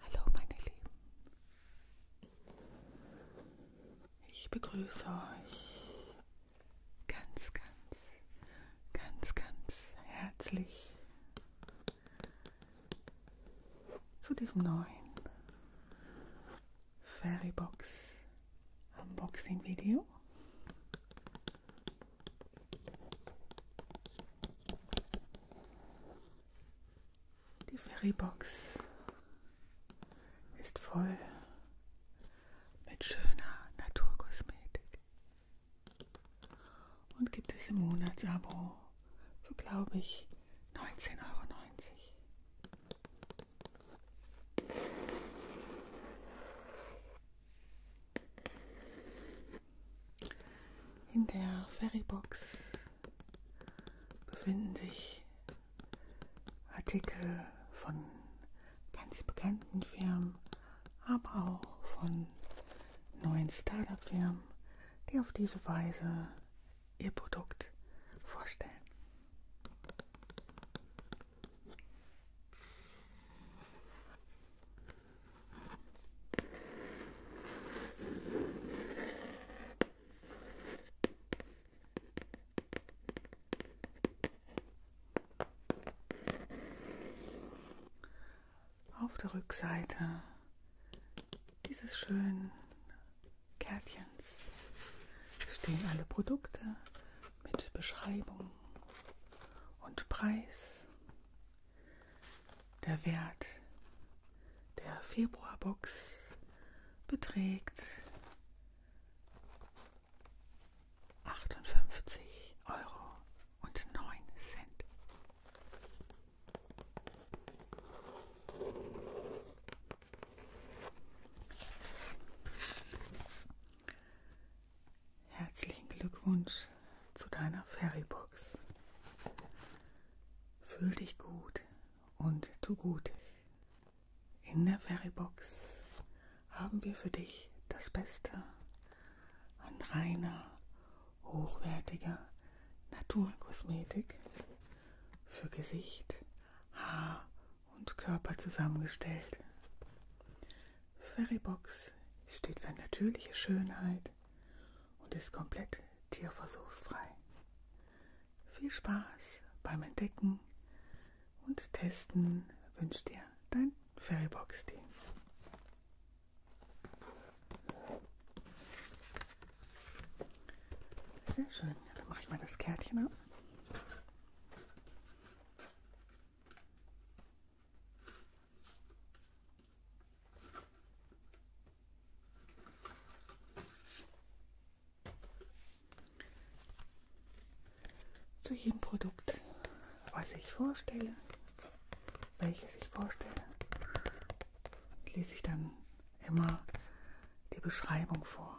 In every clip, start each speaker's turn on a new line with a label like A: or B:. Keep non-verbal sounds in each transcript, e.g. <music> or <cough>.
A: Hallo meine Lieben. Ich begrüße euch ganz, ganz, ganz, ganz herzlich zu diesem neuen Fairybox Unboxing-Video. Die Ferrybox ist voll mit schöner Naturkosmetik und gibt es im Monatsabo für, glaube ich, 19,90 Euro. In der Ferrybox befinden sich Artikel von ganz bekannten Firmen, aber auch von neuen Startup-Firmen, die auf diese Weise ihr Produkt vorstellen. Auf der Rückseite dieses schönen Kärtchen Kästchens stehen alle Produkte mit Beschreibung und Preis, der Wert der Februarbox beträgt 58 Euro und 9 Cent. Herzlichen Glückwunsch zu deiner Fairybox. Fühl dich gut und tu Gutes. In der Fairybox haben wir für dich das Beste an reiner, hochwertiger Naturkosmetik für Gesicht, Haar und Körper zusammengestellt. Ferrybox steht für natürliche Schönheit und ist komplett tierversuchsfrei. Viel Spaß beim Entdecken und Testen wünscht dir dein Ferrybox-Team. Sehr schön. Dann mache ich mal das Kärtchen ab. Zu jedem Produkt, was ich vorstelle, welches ich vorstelle, lese ich dann immer die Beschreibung vor.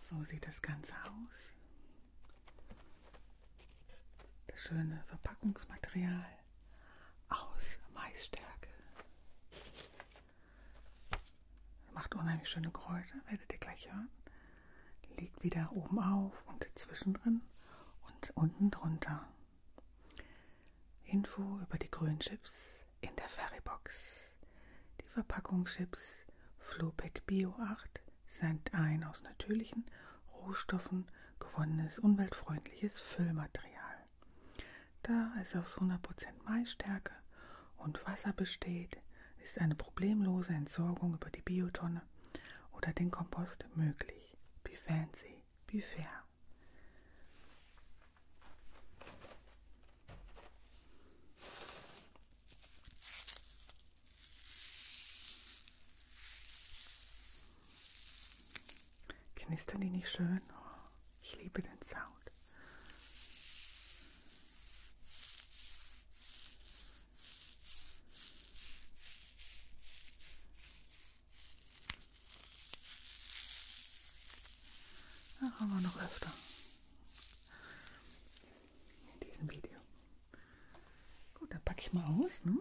A: So sieht das Ganze aus. Das schöne Verpackungsmaterial aus Maisstärke. Macht unheimlich schöne Geräusche, werdet ihr gleich hören. Liegt wieder oben auf und zwischendrin und unten drunter. Info über die grünen Chips in der Ferrybox. Die Verpackung Chips Flopec Bio 8 sind ein aus natürlichen Rohstoffen gewonnenes umweltfreundliches Füllmaterial. Da es aus 100% Maisstärke und Wasser besteht, ist eine problemlose Entsorgung über die Biotonne oder den Kompost möglich. Be fancy, be fair. Knistern die nicht schön? Oh, ich liebe den Sound. Da haben wir noch öfter in diesem Video. Gut, dann packe ich mal aus. Ne?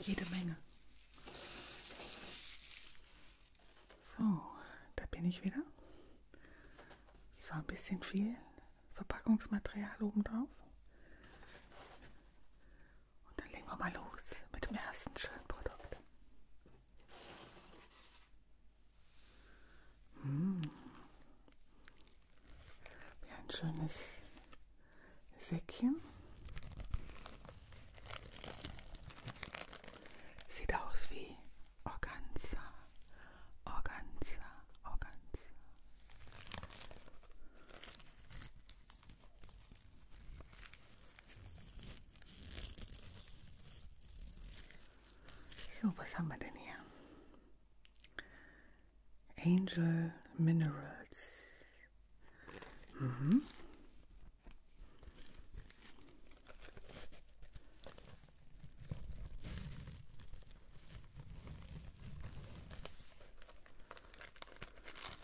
A: Jede Menge. So, da bin ich wieder. So ein bisschen viel Verpackungsmaterial oben drauf. Und dann legen wir mal los mit dem ersten schönen Produkt. Mmh. Wie ein schönes Säckchen. Sieht aus wie organza, organza, organza. So, was haben Angel Minerals. Mhm.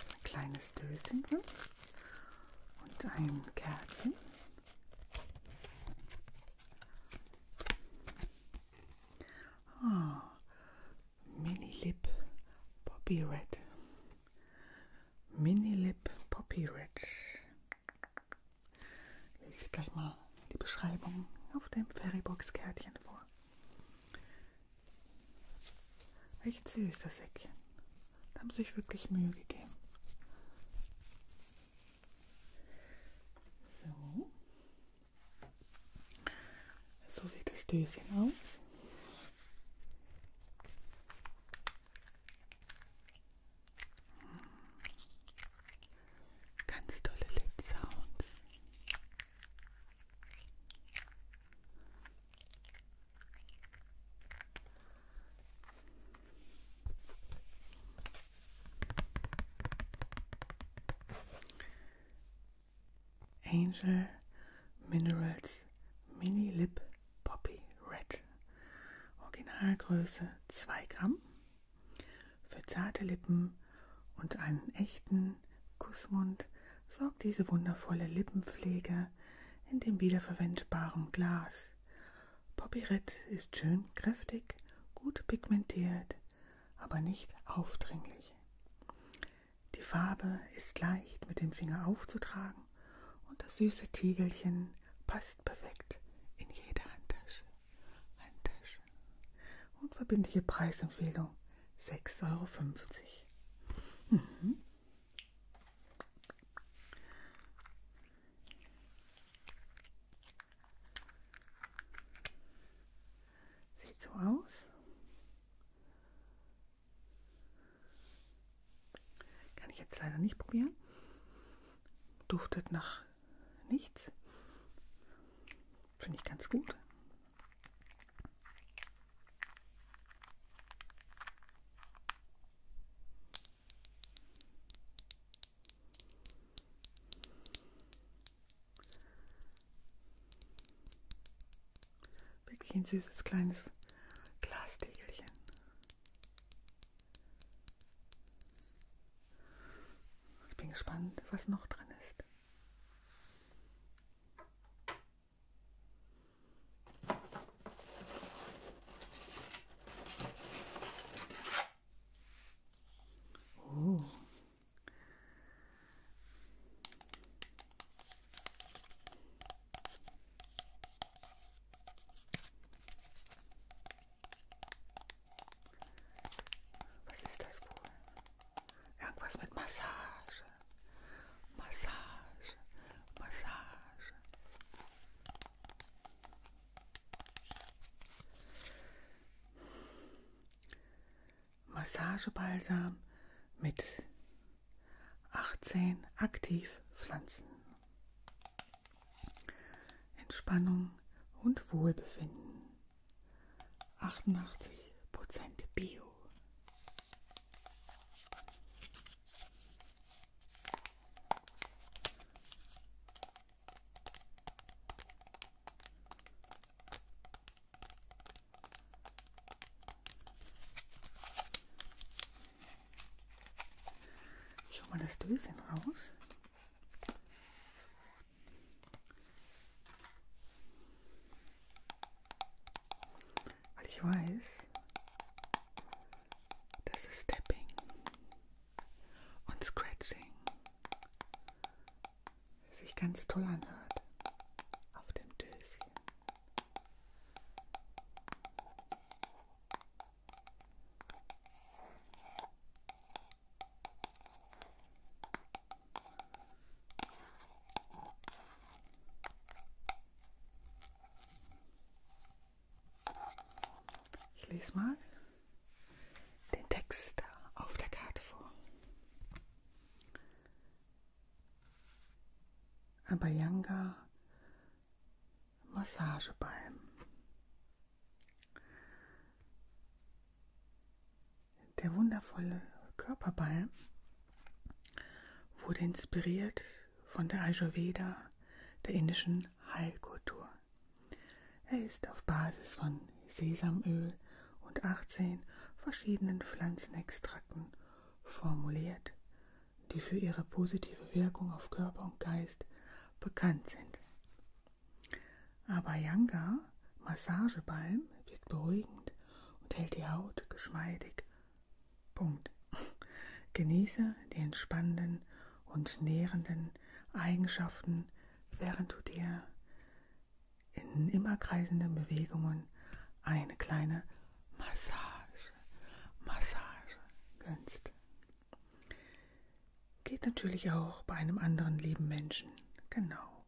A: Ein kleines Döschen und ein Kärtchen. Oh, Mini Lip Poppy Red. Mini Lip Poppy Red. Lese ich gleich mal die Beschreibung auf dem Fairybox-Kärtchen vor. Echt süß, das Säckchen. Da haben sie sich wirklich Mühe gegeben. So. So sieht das Döschen aus. Ganz tolle Lid-Sounds. Angel Minerals Mini Lip Poppy Red Originalgröße 2 Gramm, für zarte Lippen und einen echten Kussmund sorgt diese wundervolle Lippenpflege in dem wiederverwendbaren Glas. Popirett ist schön kräftig, gut pigmentiert, aber nicht aufdringlich. Die Farbe ist leicht mit dem Finger aufzutragen und das süße Tiegelchen passt passt perfekt in jede Handtasche. Handtasche. Unverbindliche Preisempfehlung 6,50 Euro. Mhm. Sieht so aus. Kann ich jetzt leider nicht probieren. Duftet nach nichts. Finde ich ganz gut. Wirklich ein süßes kleines Glastägelchen. Ich bin gespannt, was noch drin ist. Oh. Was ist das wohl? Irgendwas mit Massage. Massage. Massage. Massagebalsam mit 18 Aktivpflanzen. Entspannung und Wohlbefinden. 88% Bio. Ich hole mal das Döschen raus. Weil ich weiß, dass es Tapping und Scratching sich ganz toll anhört auf dem Döschen. Ich lese mal den Text auf der Karte vor. Abayanga Massagebalm. Der wundervolle Körperbalm wurde inspiriert von der Ayurveda, der indischen Heilkultur. Er ist auf Basis von Sesamöl und 18 verschiedenen Pflanzenextrakten formuliert, die für ihre positive Wirkung auf Körper und Geist bekannt sind. Aber Yanga, Massagebalm, wirkt beruhigend und hält die Haut geschmeidig. Punkt. Genieße die entspannenden und nährenden Eigenschaften, während du dir in immer kreisenden Bewegungen eine kleine Massage, Massage gönnst. Geht natürlich auch bei einem anderen lieben Menschen. Genau.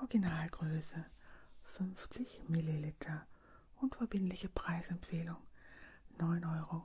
A: Originalgröße 50 Milliliter und verbindliche Preisempfehlung 9,99 Euro.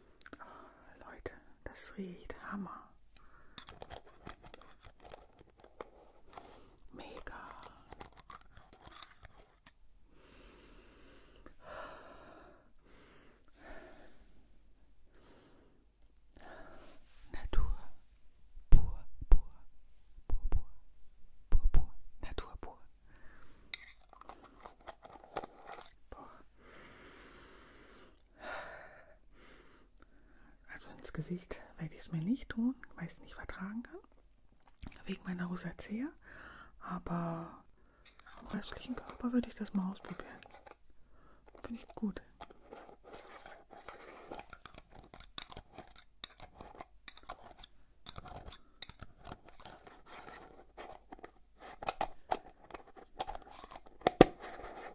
A: Oh, Leute, das riecht Hammer. Mega. Natur pur, pur, pur, pur, pur, pur, Natur pur. Boah. Also ins Gesicht werde ich es mir nicht tun, weil ich es nicht vertragen kann. Wegen meiner Rosacea. Aber am restlichen Körper würde ich das mal ausprobieren. Finde ich gut.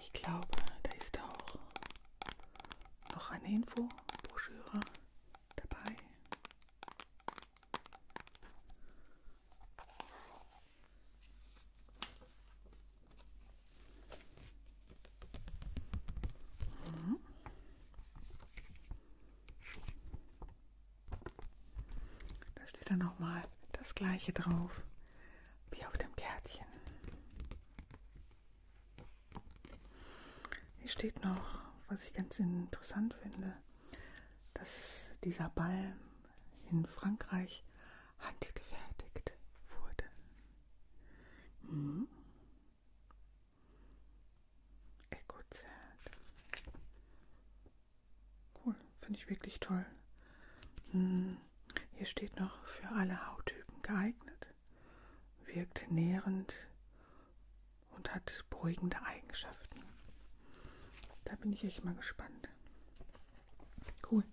A: Ich glaube, da ist auch noch eine Infobroschüre dabei. Mhm. Da steht dann nochmal das gleiche drauf wie auf dem Kärtchen. Hier steht noch, was ich ganz interessant finde, dass dieser Ball in Frankreich handgefertigt wurde. Mhm. Cool, finde ich wirklich toll. Hm. Hier steht noch für alle Hauttypen geeignet wirkt nährend und hat beruhigende Eigenschaften. Da bin ich echt mal gespannt. Cool.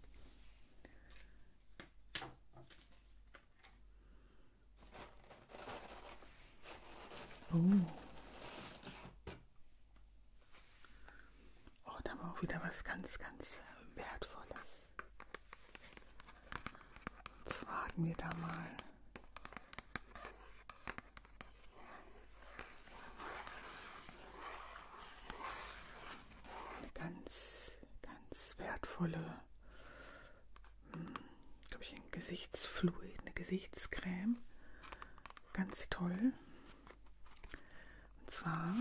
A: Oh. Oh, da haben wir auch wieder was ganz, ganz Wertvolles. Jetzt warten wir da mal. Eine ganz, ganz wertvolle, hm, glaube ich, ein Gesichtsfluid, eine Gesichtscreme. Ganz toll. Und zwar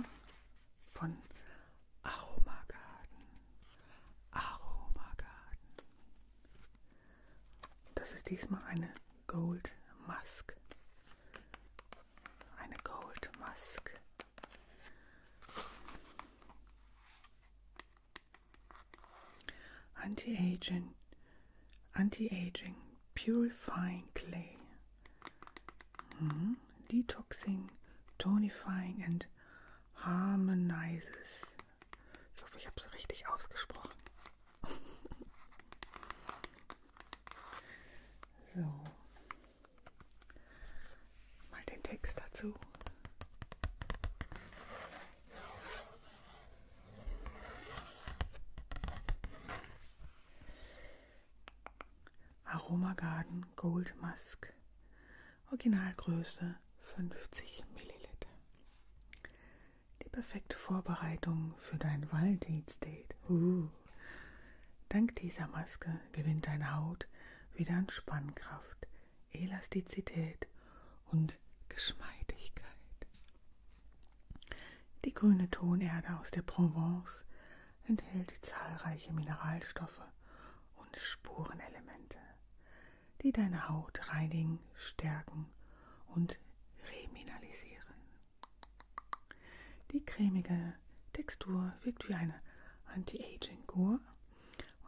A: von Aromagarten. Aromagarten. Das ist diesmal eine Gold Mask. Eine Gold Mask. Anti-Aging, Anti-Aging, Purifying Clay. Mhm detoxing, tonifying and harmonizes. Ich hoffe, ich habe es richtig ausgesprochen. <laughs> so. Mal den Text dazu. Aroma Garden Gold Musk. Originalgröße 50 Milliliter. Die perfekte Vorbereitung für dein Valentine's Date. Uh. Dank dieser Maske gewinnt deine Haut wieder an Spannkraft, Elastizität und Geschmeidigkeit. Die grüne Tonerde aus der Provence enthält zahlreiche Mineralstoffe und Spurenelemente, die deine Haut reinigen, stärken und remineralisieren. Die cremige Textur wirkt wie eine Anti-Aging-Kur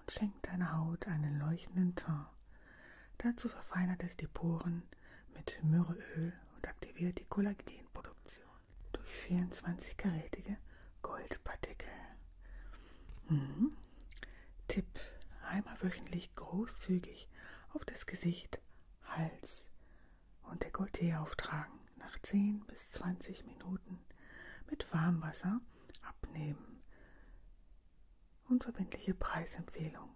A: und schenkt deiner Haut einen leuchtenden Ton. Dazu verfeinert es die Poren mit Myrrheöl und aktiviert die Kollagenproduktion durch 24-karätige Goldpartikel. Mhm. Tipp: einmal wöchentlich großzügig auf das Gesicht, Hals und Dekolleté auftragen. Nach 10 bis 20 Minuten mit Warmwasser abnehmen. Unverbindliche Preisempfehlung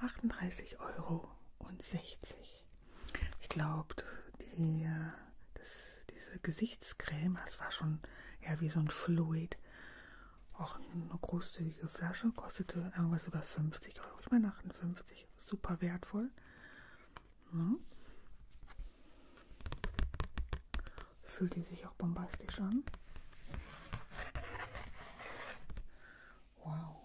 A: 38,60 Euro nicht. Ich glaube, die, das, diese Gesichtscreme, das war schon eher wie so ein Fluid. Auch eine großzügige Flasche, kostete irgendwas über 50 Euro. Ich meine 58, super wertvoll. Ja. Ne? Fühlt die sich auch bombastisch an. Wow.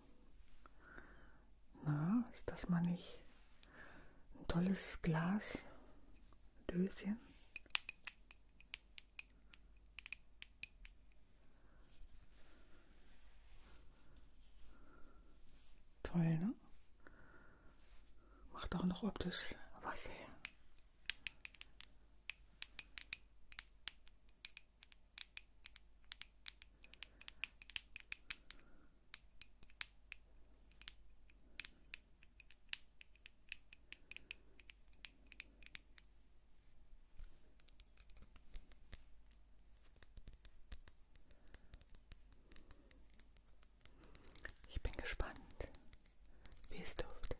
A: Na, ist das mal nicht ein tolles Glas? Döschen? Toll, ne? Macht auch noch optisch was her. Ich bin gespannt, wie es duftet.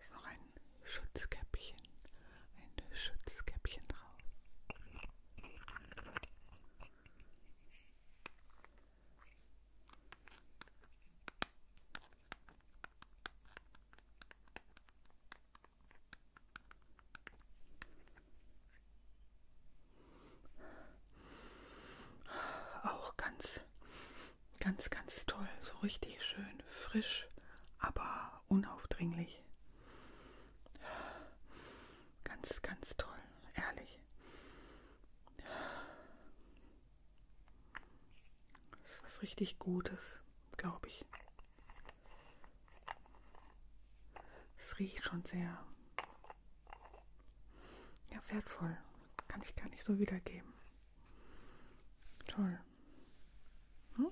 A: Ist noch ein Schutzkäppchen, ein Schutzkäppchen drauf. Auch ganz, ganz, ganz toll. So richtig schön frisch, aber unaufdringlich. Ganz, ganz toll, ehrlich. Das ist was richtig Gutes, glaube ich. Es riecht schon sehr ja, wertvoll. Kann ich gar nicht so wiedergeben. Toll. Hm?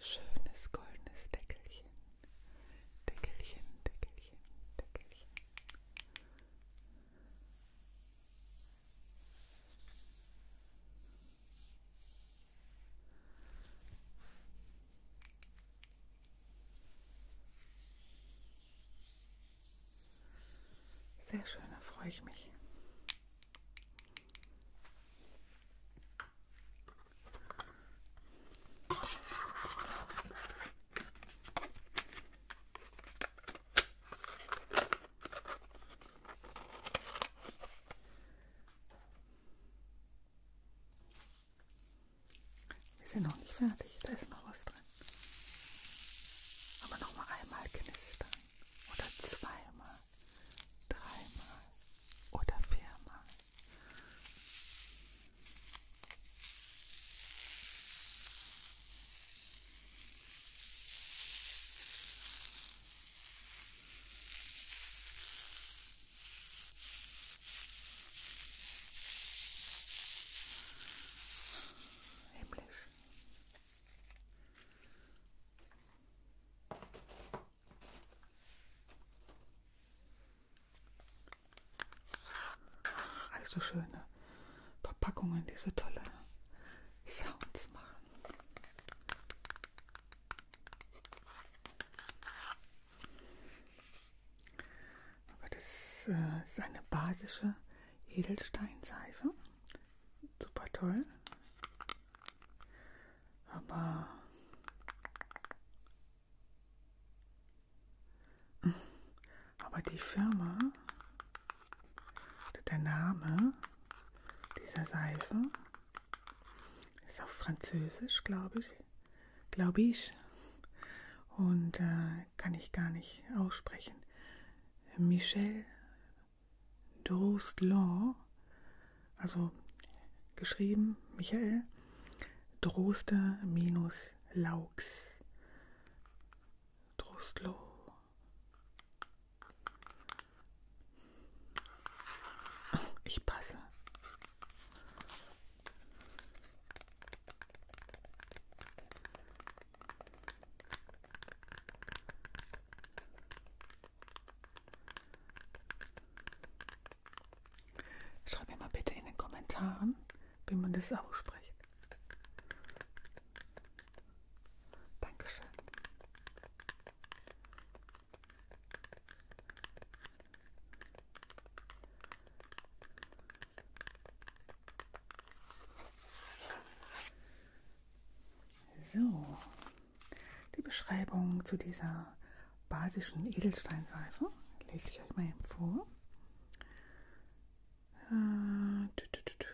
A: Schönes goldenes Deckelchen. Deckelchen, Deckelchen, Deckelchen. Sehr schön, da freue ich mich. Wir sind noch nicht fertig, da ist noch was drin. Aber noch mal einmal knistern oder zweimal dreimal oder viermal. Himmlisch. Also schöne Verpackungen, die so tolle Sounds machen. Aber das äh, ist eine basische Edelsteinseife. Super toll. Aber <laughs> aber die Firma, der Name dieser Seife ist auf Französisch, glaube ich, glaube ich, und äh, kann ich gar nicht aussprechen. Michel Drostelon also geschrieben Michael Droste minus Laux. Drostlo. Oh, ich passe. Schreibt mir mal bitte in den Kommentaren, wie man das ausspricht. Dankeschön. So die Beschreibung zu dieser basischen Edelsteinseife. Lese ich euch mal eben vor. Äh, tü tü tü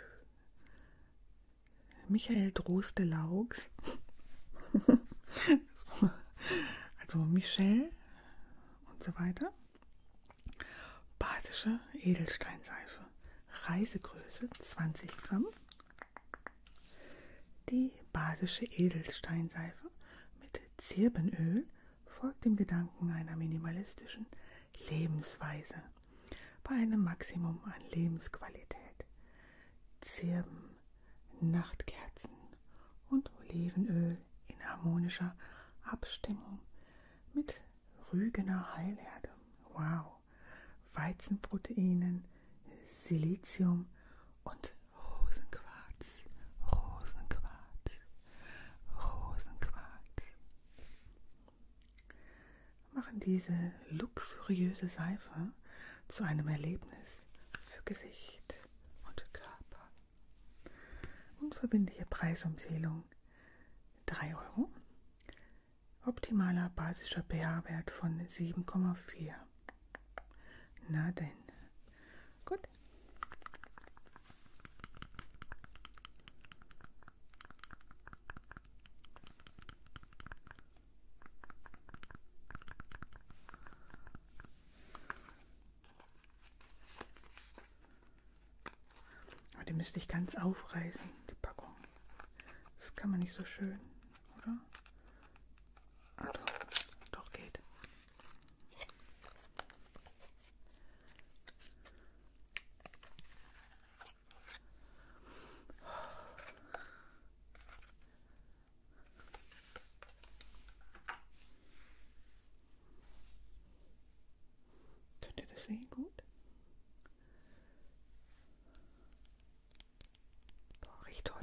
A: Michael Droste Laugs. <laughs> so. also Michel und so weiter. Basische Edelsteinseife. Reisegröße 20 Gramm, die basische Edelsteinseife mit Zirbenöl folgt dem Gedanken einer minimalistischen Lebensweise bei einem Maximum an Lebensqualität. Zirben, Nachtkerzen und Olivenöl in harmonischer Abstimmung mit Rügener Heilerde. Wow! Weizenproteinen, Silizium und Rosenquarz, Rosenquarz, Rosenquarz. Machen diese luxuriöse Seife zu einem Erlebnis für Gesicht und Körper. Unverbindliche Preisempfehlung 3 Euro. Optimaler basischer pH-Wert von 7,4. Na denn. Gut. Aber die müsste ich ganz aufreißen, die Packung. Das kann man nicht so schön, oder? Also, doch geht. Könnt ihr das sehen gut? Boah, riecht toll.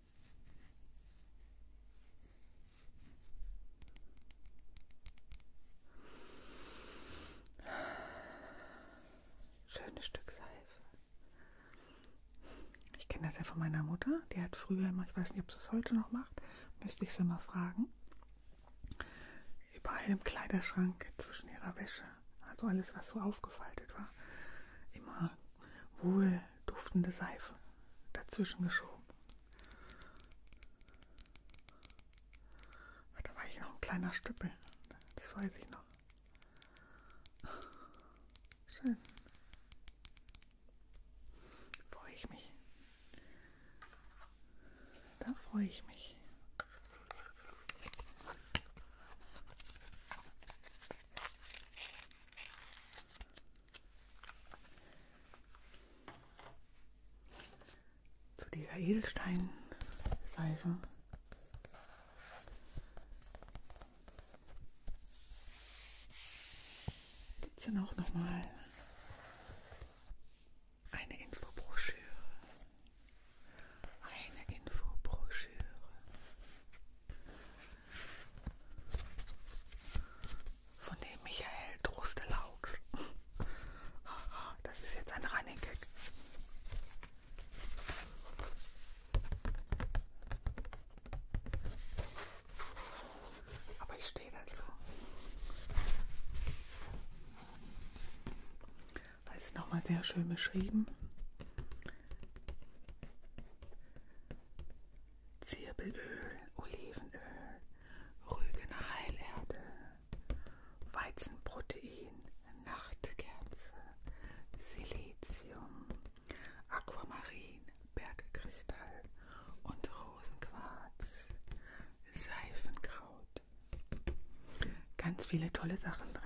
A: Schönes Stück Seife. Ich kenne das ja von meiner Mutter. Die hat früher immer, ich weiß nicht, ob sie es heute noch macht, müsste ich sie mal fragen. Überall im Kleiderschrank zwischen ihrer Wäsche, also alles, was so aufgefaltet war, immer wohl duftende Seife dazwischen geschoben. Ah, da war ich noch ein kleiner Stüppel, das weiß ich noch. Schön. Freue ich mich. Da freue ich mich. Zu dieser Edelsteinseife. Gibt es dann auch nochmal eine Infobroschüre? Eine Infobroschüre. Von dem Michael Droste-Laux. Das ist jetzt ein Running Gag. Aber ich stehe dazu. Da ist nochmal sehr schön beschrieben. Zirbelöl, Olivenöl, Rügener Heilerde, Weizenprotein, Nachtkerze, Silizium, Aquamarin, Bergkristall und Rosenquarz, Seifenkraut. Ganz viele tolle Sachen drin.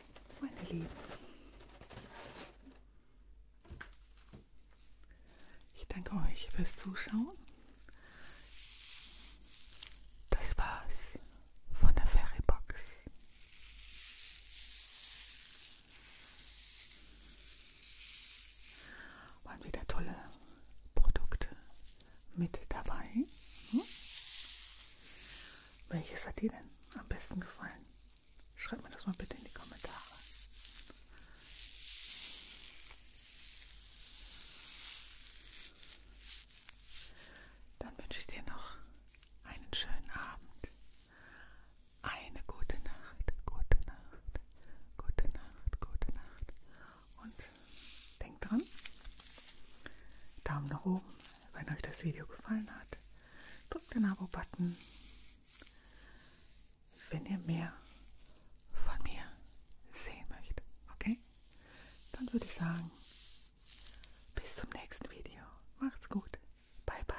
A: meine Lieben. Ich danke euch fürs Zuschauen. Das war's von der Ferrybox. Waren wieder tolle Produkte mit dabei. Hm? Welches hat die denn? am besten gefallen? Schreibt mir das mal bitte in die Kommentare. Dann wünsche ich dir noch einen schönen Abend, eine gute Nacht, gute Nacht, gute Nacht, gute Nacht. Und denk dran, Daumen nach oben, wenn euch das Video gefallen hat, drückt den Abo-Button. Wenn ihr mehr von mir sehen möchtet, okay? Dann würde ich sagen, bis zum nächsten Video. Macht's gut. Bye bye.